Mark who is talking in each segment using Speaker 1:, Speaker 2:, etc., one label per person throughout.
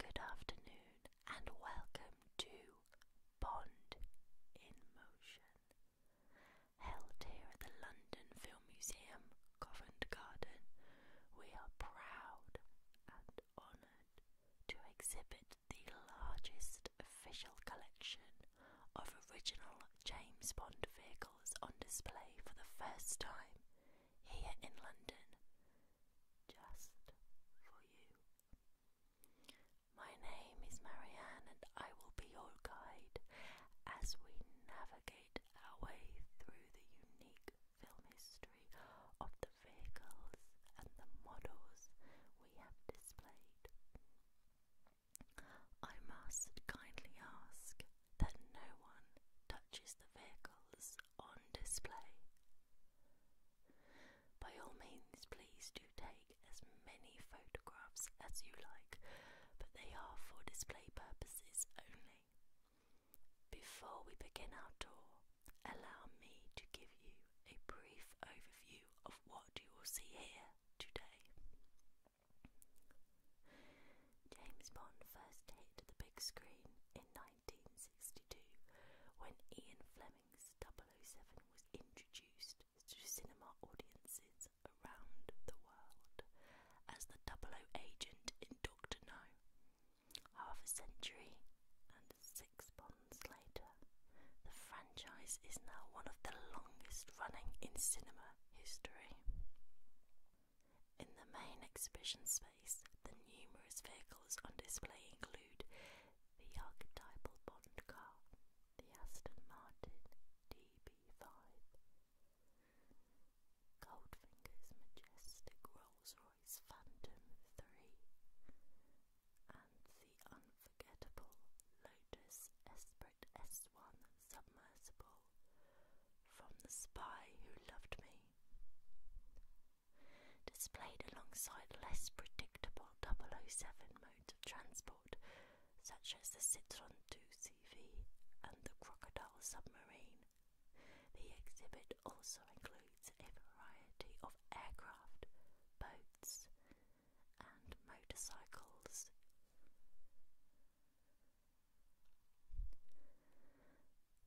Speaker 1: Good afternoon and welcome to Bond in Motion, held here at the London Film Museum, Covent Garden. We are proud and honoured to exhibit the largest official collection of original James Bond vehicles on display for the first time here in London, just for you. My name is Marianne, and I will be your guide as we navigate our way through the unique film history of the vehicles and the models we have displayed. I must kindly ask that no one touches the vehicles on display. By all means, please do take as many photographs as you like, but they are for display purposes only. Before we begin our tour, allow me to give you a brief overview of what you will see here today. James Bond first hit the big screen in 1962 when Ian Fleming's 007 was introduced to cinema audiences around the world as the 00 agent in Doctor No. Half a century and six bonds later, the franchise is now one of the longest running in cinema history. In the main exhibition space, the numerous vehicles on display include the archetypal Bond car, the Aston Martin DB5, Goldfinger's majestic Rolls Royce Phantom 3, and the unforgettable Lotus Esprit S1 submersible from The Spy Who Loved Me. Displayed alongside less predictable 007 modes of transport, such as the Citroën 2CV and the Crocodile submarine, the exhibit also includes a variety of aircraft, boats, and motorcycles.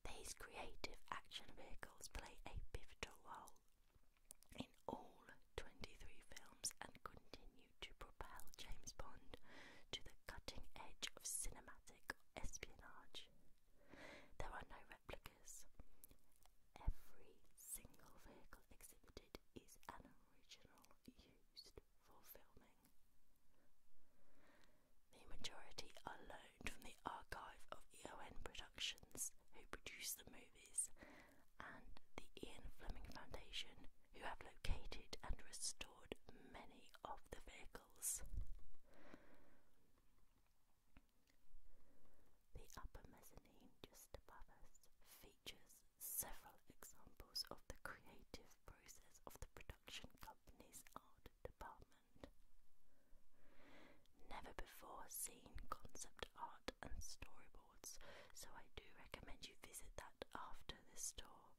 Speaker 1: These creative action vehicles play a pivotal role in all 23 films and continue to propel James Bond to the cutting edge of cinematic espionage. There are no replicas. Every single vehicle exhibited is an original used for filming. The majority are loaned from the archive of EON Productions, who produce the movies, and the Ian Fleming Foundation, who have located and restored many of the vehicles. The upper mezzanine just above us features several examples of the creative process of the production company's art department. Never before seen concept art and storyboards, so I do recommend you visit that after this tour.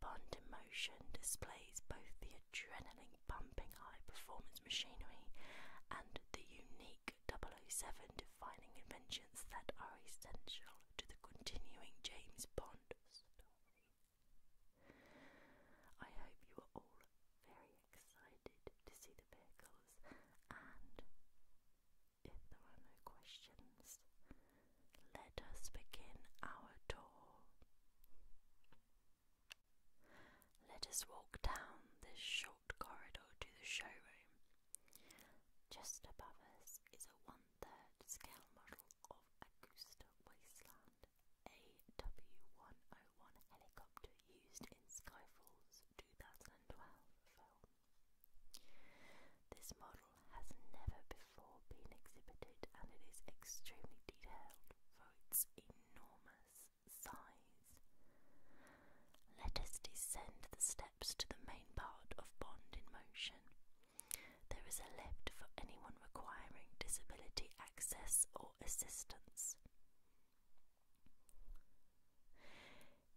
Speaker 1: Bond Emotion displays both the adrenaline pumping high performance machinery and the unique 007 defining inventions that are essential to the continuing James Bond I hope you are all very excited to see the vehicles, and if there are no questions, let us begin our tour. Let us walk down this short corridor to the showroom. Just above us is a one third scale model of Augusta Wasteland, a W101 helicopter used in Skyfall's 2012 film. This model has never before been exhibited and it is extremely detailed for its enormous size. Let us descend the steps to the main part of Bond in Motion. There is a lift for anyone requiring disability access or assistance.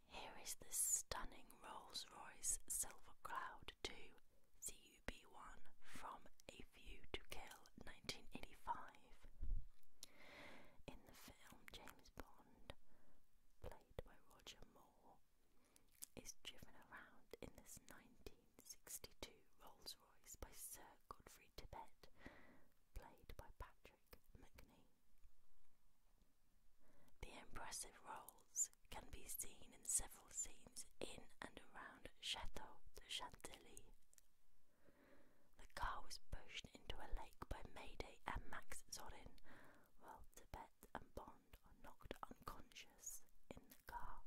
Speaker 1: Here is the stunning Rolls Royce Silver Cloud 2 CUB1 from A View to Kill 1985. In the film, James Bond, played by Roger Moore, is driven around in this 1962 Rolls Royce by Sir Godfrey Tippett, played by Patrick McNee. The impressive Rolls can be seen in several scenes in and around Chateau de Chantilly. The car was pushed into a lake by Mayday and Max Zorin, while Tibet and Bond drowned knocked unconscious in the car.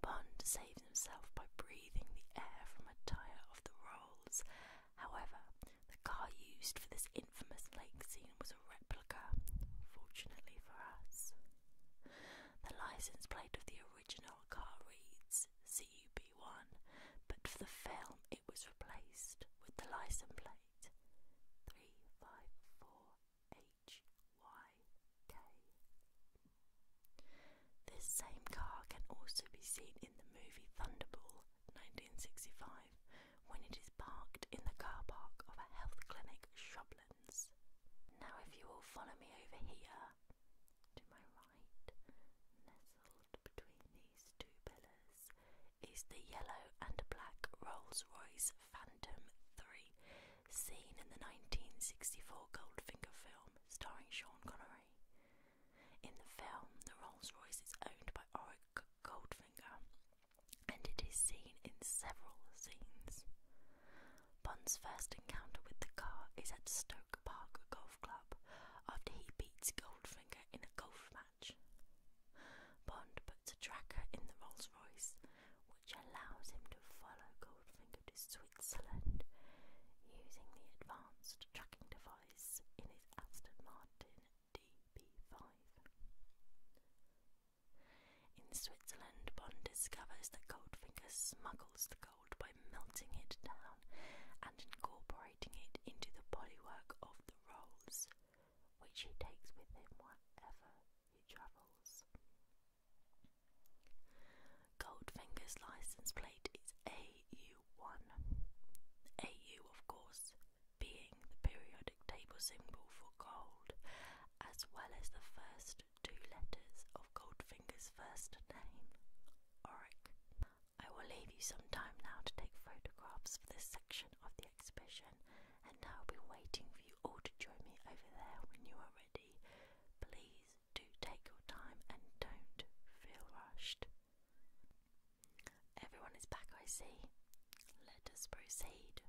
Speaker 1: Bond saves himself by breathing the air from a tyre of the Rolls. However, the car used for this infamous lake scene was a replica, fortunately for us. The license plate of the original car reads CUB1, but for the film it was replaced with the license plate 354HYK. This same car can also be seen in the movie Thunderball 1965 when it is parked in the car park of a health clinic, Shoblands. Now, if you will follow me over here to my right, nestled between the these two pillars is the yellow and black Rolls Royce Phantom III seen in the 1964 Goldfinger film starring Sean Connery. In the film, the Rolls Royce is owned by Auric Goldfinger and it is seen in several scenes. Bond's first encounter with the car is at Stoke Park Golf Club after he beats Goldfinger in a golf match. Bond puts a tracker in the Rolls Royce, which allows him to follow Goldfinger to Switzerland using the advanced tracking device in his Aston Martin DB5. In Switzerland, Bond discovers that Goldfinger smuggles the gold by melting it down and incorporating it into the bodywork of the Rolls which he takes with him wherever he travels. Goldfinger's license plate is AU1. AU, of course, being the periodic table symbol for gold, as well as the first two letters of Goldfinger's first name, Oric. I will leave you some time now to take photographs for this section of the exhibition, and I'll be waiting for you all to join me over there when you are ready. Please do take your time and don't feel rushed. Everyone is back, I see. Let us proceed.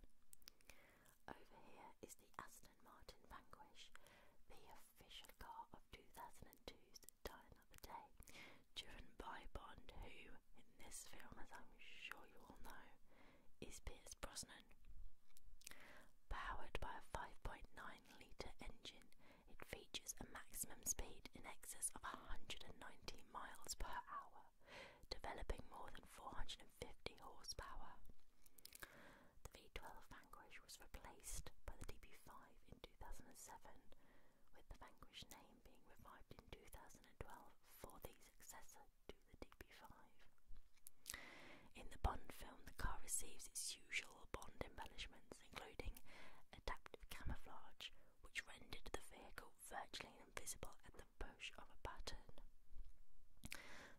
Speaker 1: Over here is the Aston Martin Vanquish, the official car of 2002's time day, driven by Bond, who, in this film, as I'm sure you all know, is Pierce Brosnan. Powered by a 5.9 litre engine, it features a maximum speed in excess of 190 miles per hour, developing more than 450 horsepower. The V12 Vanquish was replaced by the DB5 in 2007 with the Vanquish name being revived in 2012 for the successor to the DB5. In the Bond film, the car receives its usual Bond embellishments, including adaptive camouflage, which rendered the vehicle virtually invisible at the push of a button.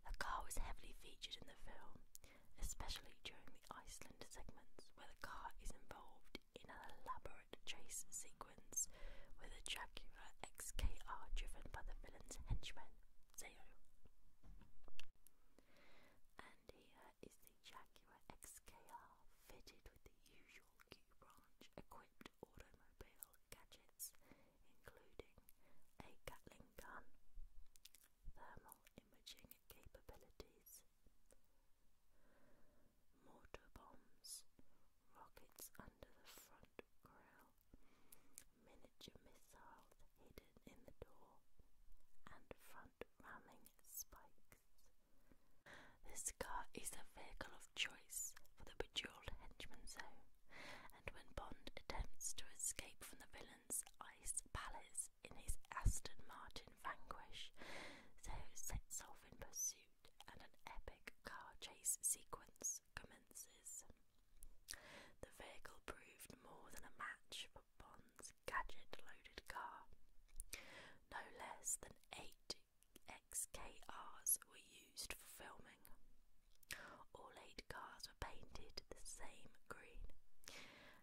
Speaker 1: The car was heavily featured in the film, especially during the Iceland segments, where the car is involved in an elaborate chase sequence with a Jaguar XKR driven by the villain's henchman, Zeo. And here is the Jaguar XKR fitted with the usual Q branch equipped automobile gadgets, including a Gatling gun, thermal imaging capabilities, mortar bombs, rockets under the front grille, miniature missiles hidden in the door, and front ramming spikes. This car is a vehicle of choice for the bejeweled henchman zone, and when Bond attempts to escape from the villain's ice palace in his Aston Martin Vanquish, Zoe sets off in pursuit and an epic car chase sequence commences. The vehicle proved more than a match for Bond's gadget loaded car. No less than eight XKRs were used for filming. All eight cars were painted the same green.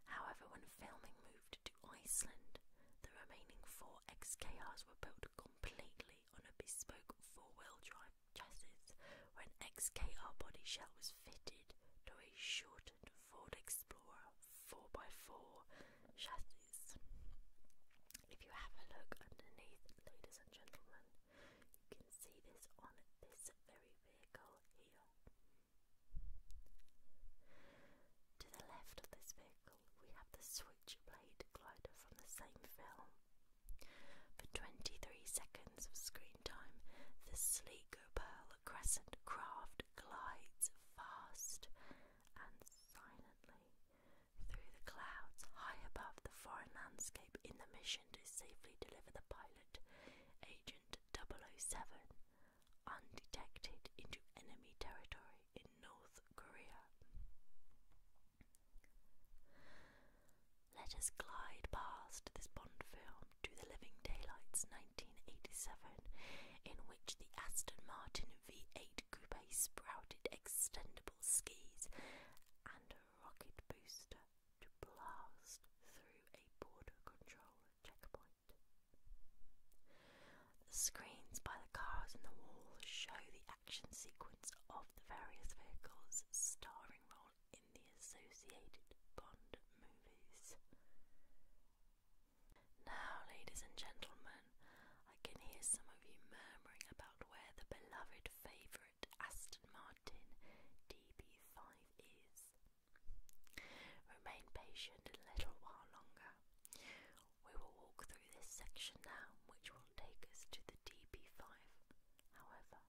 Speaker 1: However, when filming moved to Iceland, the remaining four 4 XKRs were built completely on a bespoke four-wheel drive chassis, where an XKR body shell was fitted to a shortened Ford Explorer 4x4 chassis. If you have a look underneath, ladies and gentlemen, you can see this on this very vehicle here. To the left of this vehicle, we have the Switchblade glider from the same film. For 23 seconds of screen time, the sleek Pearl Crescent craft glides fast and silently through the clouds high above the foreign landscape in the mission to safely deliver the pilot, Agent 007, undetected into enemy territory in North Korea. Let us glide past this Bond film to the Living Daylights 1987, in which the Aston Martin V8 Coupe sprouted extendable skis and a rocket booster to blast through a border control checkpoint. The screens by the cars in the wall show the action sequence of the various vehicles' starring role in the associated Bond movies. Now, ladies and gentlemen, I can hear some of you murmuring about where the beloved favourite Aston Martin DB5 is. Remain patient a little while longer. We will walk through this section now, which will take us to the DB5. However,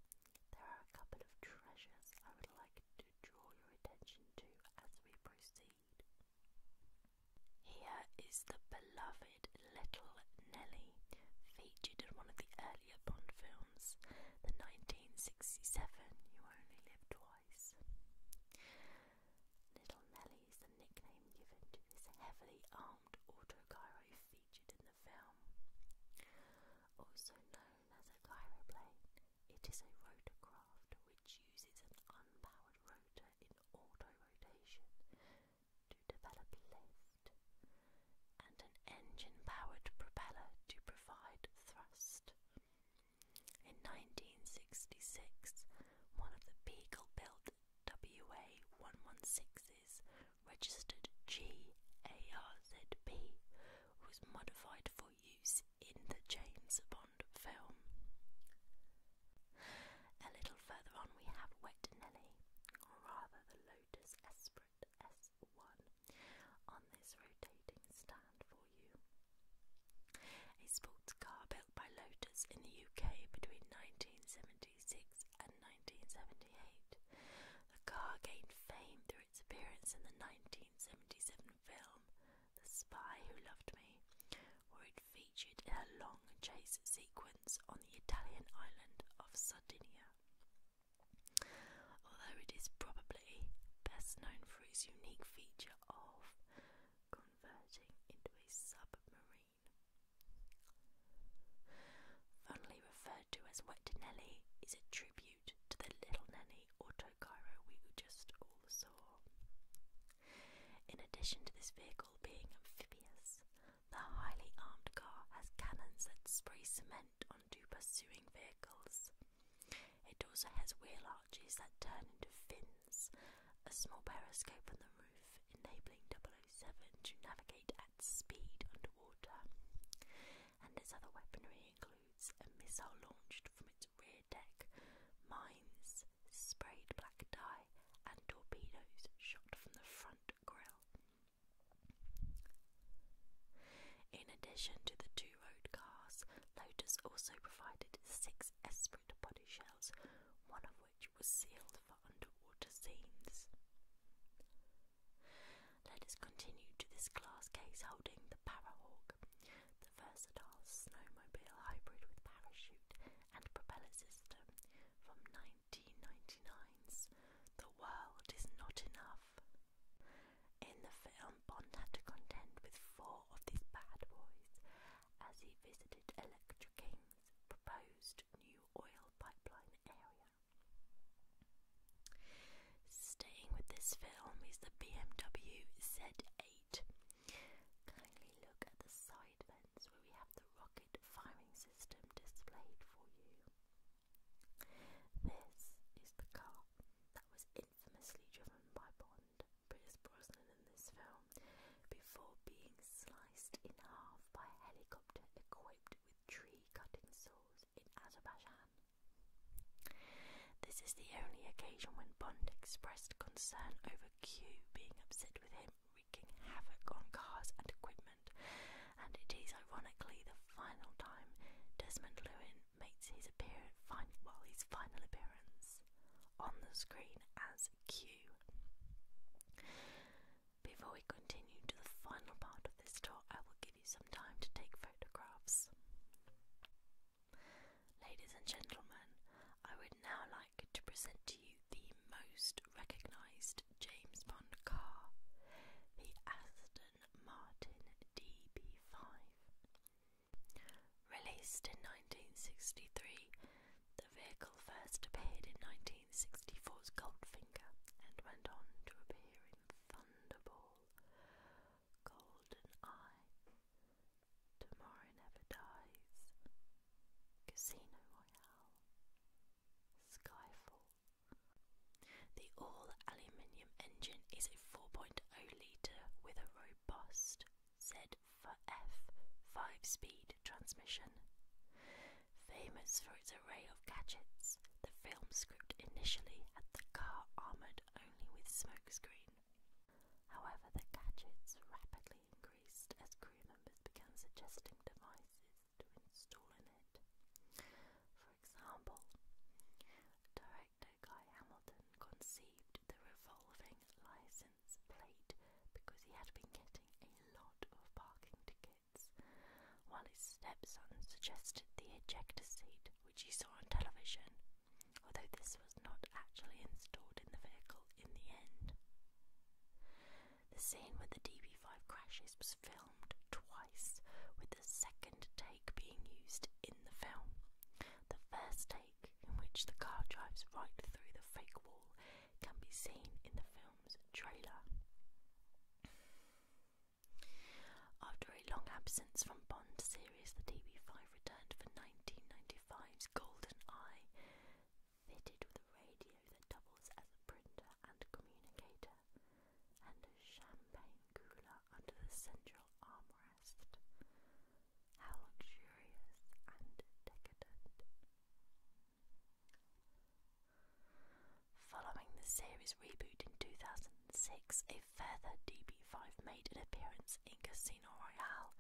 Speaker 1: there are a couple of treasures I would like to draw your attention to as we proceed. Here is the beloved Little Nelly, featured in one of the earlier Bond films, the 1967 You Only Live Twice. Little Nelly is the nickname given to this heavily armed autogyro featured in the film. Also known as a gyroplane, it is a rotorcraft which uses an unpowered rotor in auto-rotation to develop lift, and an engine-powered propeller to provide thrust. In 1966, one of the Beagle-built WA-116s, registered GARZB, was modified for use in the James Bond film. A little further on we have Wet Nelly, or rather the Lotus Esprit S1, on this rotating stand for you. A sports car built by Lotus in the UK between 1976 and 1978. The car gained fame through its appearance in the 1977 film The Spy Who Loved Me, where it featured in a long chase sequence on the Italian island of Sardinia. Although it is probably best known for its unique feature of converting into a submarine. Fondly referred to as Wet Nelly is a tribute to the Little Nelly autocaro we just all saw. In addition to this vehicle being amphibious, the highly armed car has cannons that spray cement onto pursuing vehicles. It also has wheel arches that turn into fins a small periscope on the roof, enabling 007 to navigate at speed underwater. And its other weaponry includes a missile launched from its rear deck, mines, sprayed black dye, and torpedoes shot from the front grille. In addition to the two road cars, Lotus also provided six S separate body shells, one of which was sealed for underwater scenes. Let us continue to this glass case holding the Parahawk, the versatile snowmobile hybrid with parachute and propeller system from 1999's The World Is Not Enough. In the film, Bond had to contend with four of these bad boys as he visited Electra King's proposed new oil pipeline area. Staying with this film is the BMW Z8. Kindly look at the side vents where we have the rocket firing system displayed for you. This is the car that was infamously driven by Bond, Pierce Brosnan in this film, before being sliced in half by a helicopter equipped with tree-cutting saws in Azerbaijan. This is the only occasion when Bond expressed concern over Q being upset with him, wreaking havoc on cars and equipment, and it is ironically the final time Desmond Llewellyn makes his appearance, fin his final appearance on the screen as Q. Before we continue to the final part of this tour, I will give you some time to take photographs. Ladies and gentlemen, I would now like to present to you the most recognised James Bond car, the Aston Martin DB5. Released in 1963, the vehicle first appeared in 1964's Goldfinger and went on to appear in Thunderball, GoldenEye, Tomorrow Never Dies, Casino Royale, Skyfall. The all aluminium engine is a 4.0 litre with a robust ZF 5-speed transmission. Famous for its array of gadgets, the film script initially had the car armoured only with smokescreen. However, the gadgets rapidly increased as crew members began suggesting devices to install in it. For example, director Guy Hamilton conceived the revolving license license plate because he had been getting a lot of parking tickets, while his stepson suggested the ejector seat, which he saw on television, although this was not actually installed in the vehicle in the end. The scene where the DB5 crashes was filmed twice, with the second take being used in the film. The first take in which the car drives right through the fake wall can be seen in the film's trailer. After a long absence from Bond series, the DB5 returned for 1995's Golden Eye, fitted with a radio that doubles as a printer and communicator, and a champagne cooler under the central armrest. Following the series reboot in 2006, a further DB5 made an appearance in Casino Royale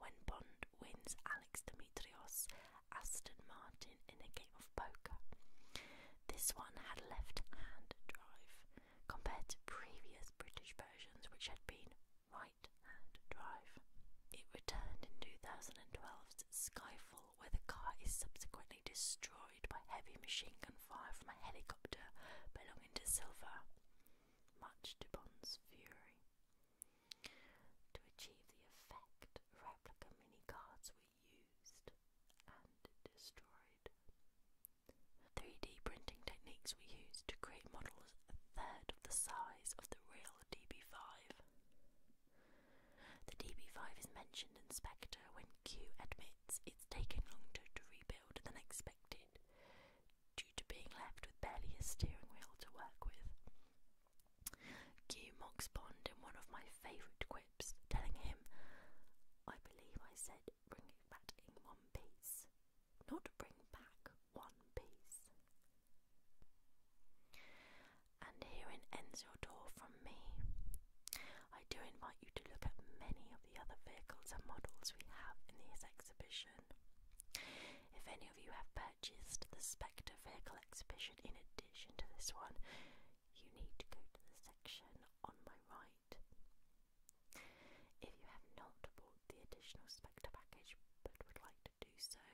Speaker 1: when Bond wins Alex Dimitrios Aston Martin in a game of poker. This one had left hand drive compared to previous British versions, which had been right it returned in 2012's Skyfall, where the car is subsequently destroyed by heavy machine gun fire from a helicopter belonging to Silva, much to Bond's fury. To achieve the effect, replica mini cards were used and destroyed. 3D printing techniques we used to create models a third of the size of the real DB5. The DB5 is mentioned in Spectre when Q admits it's taken longer to rebuild than expected, due to being left with barely a steering wheel to work with. Q mocks Bond in one of my favourite quips, telling him, I believe I said bring it back in one piece, not bring back one piece. And herein ends your tour from me. I do invite you to look at many of the other vehicles and models we have in this exhibition. If any of you have purchased the Spectre vehicle exhibition in addition to this one, you need to go to the section on my right. If you have not bought the additional Spectre package but would like to do so,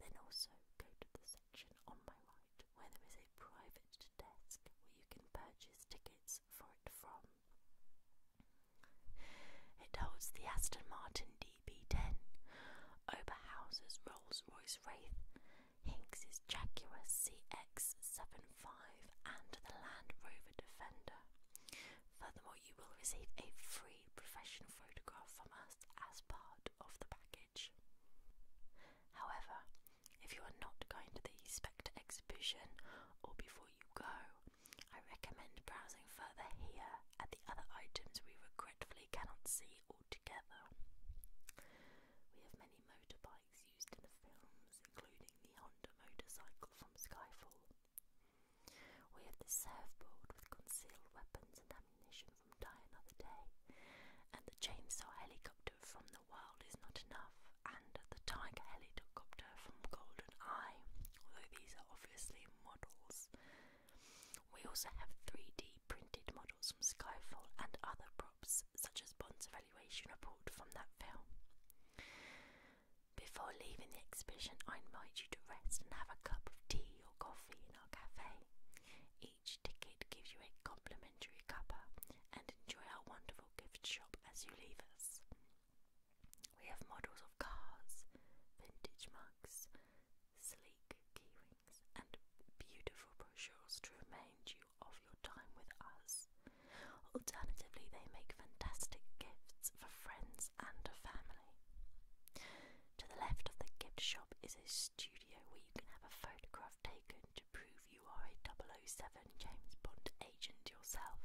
Speaker 1: then also go to the section on my right where there is a private desk where you can purchase tickets for it from. It holds the Aston Martin DB10, Oberhauser's Rolls Royce Wraith, Hinks's Jaguar CX75, and the Land Rover Defender. Furthermore, you will receive a free professional photograph from us as part of the package. However, if you are not going to the Spectre exhibition or before you go, I recommend browsing further here at the other items we regretfully cannot see altogether. We have many motorbikes used in the films, including the Honda motorcycle from Skyfall, we have the surfboard with concealed weapons and ammunition from Die Another Day, and the chainsaw helicopter from The World Is Not Enough, and the tiger helicopter from Golden Eye, although these are obviously models. We also have 3D printed models from Skyfall and other props, such as Bond's evaluation report from that film. Before leaving the exhibition, I invite you to rest and have a cup of tea or coffee in our cafe. Each ticket gives you a complimentary cuppa, and enjoy our wonderful gift shop as you leave us. We have models of cars, vintage mugs, sleek key rings, and beautiful brochures to remind you of your time with us. Alternatively, they make fantastic gifts for friends and family. To the left of the gift shop is a studio where you can have a photograph taken to prove you are a 007 James Bond agent yourself.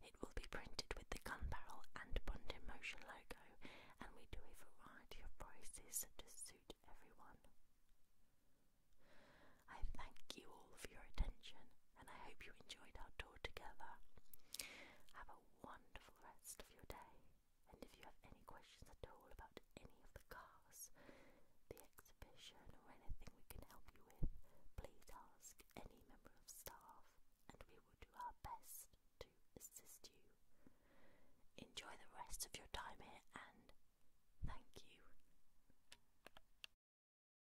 Speaker 1: It will be printed with the gun barrel and Bond in Motion logo, and we do a variety of prices to suit everyone. I thank you all for your attention and I hope you enjoyed our tour together. Have a wonderful rest of your day, and if you have any questions at all about any of the cars, the exhibition, or anything we can help you with, please ask any member of staff, and we will do our best to assist you. Enjoy the rest of your time here, and thank you.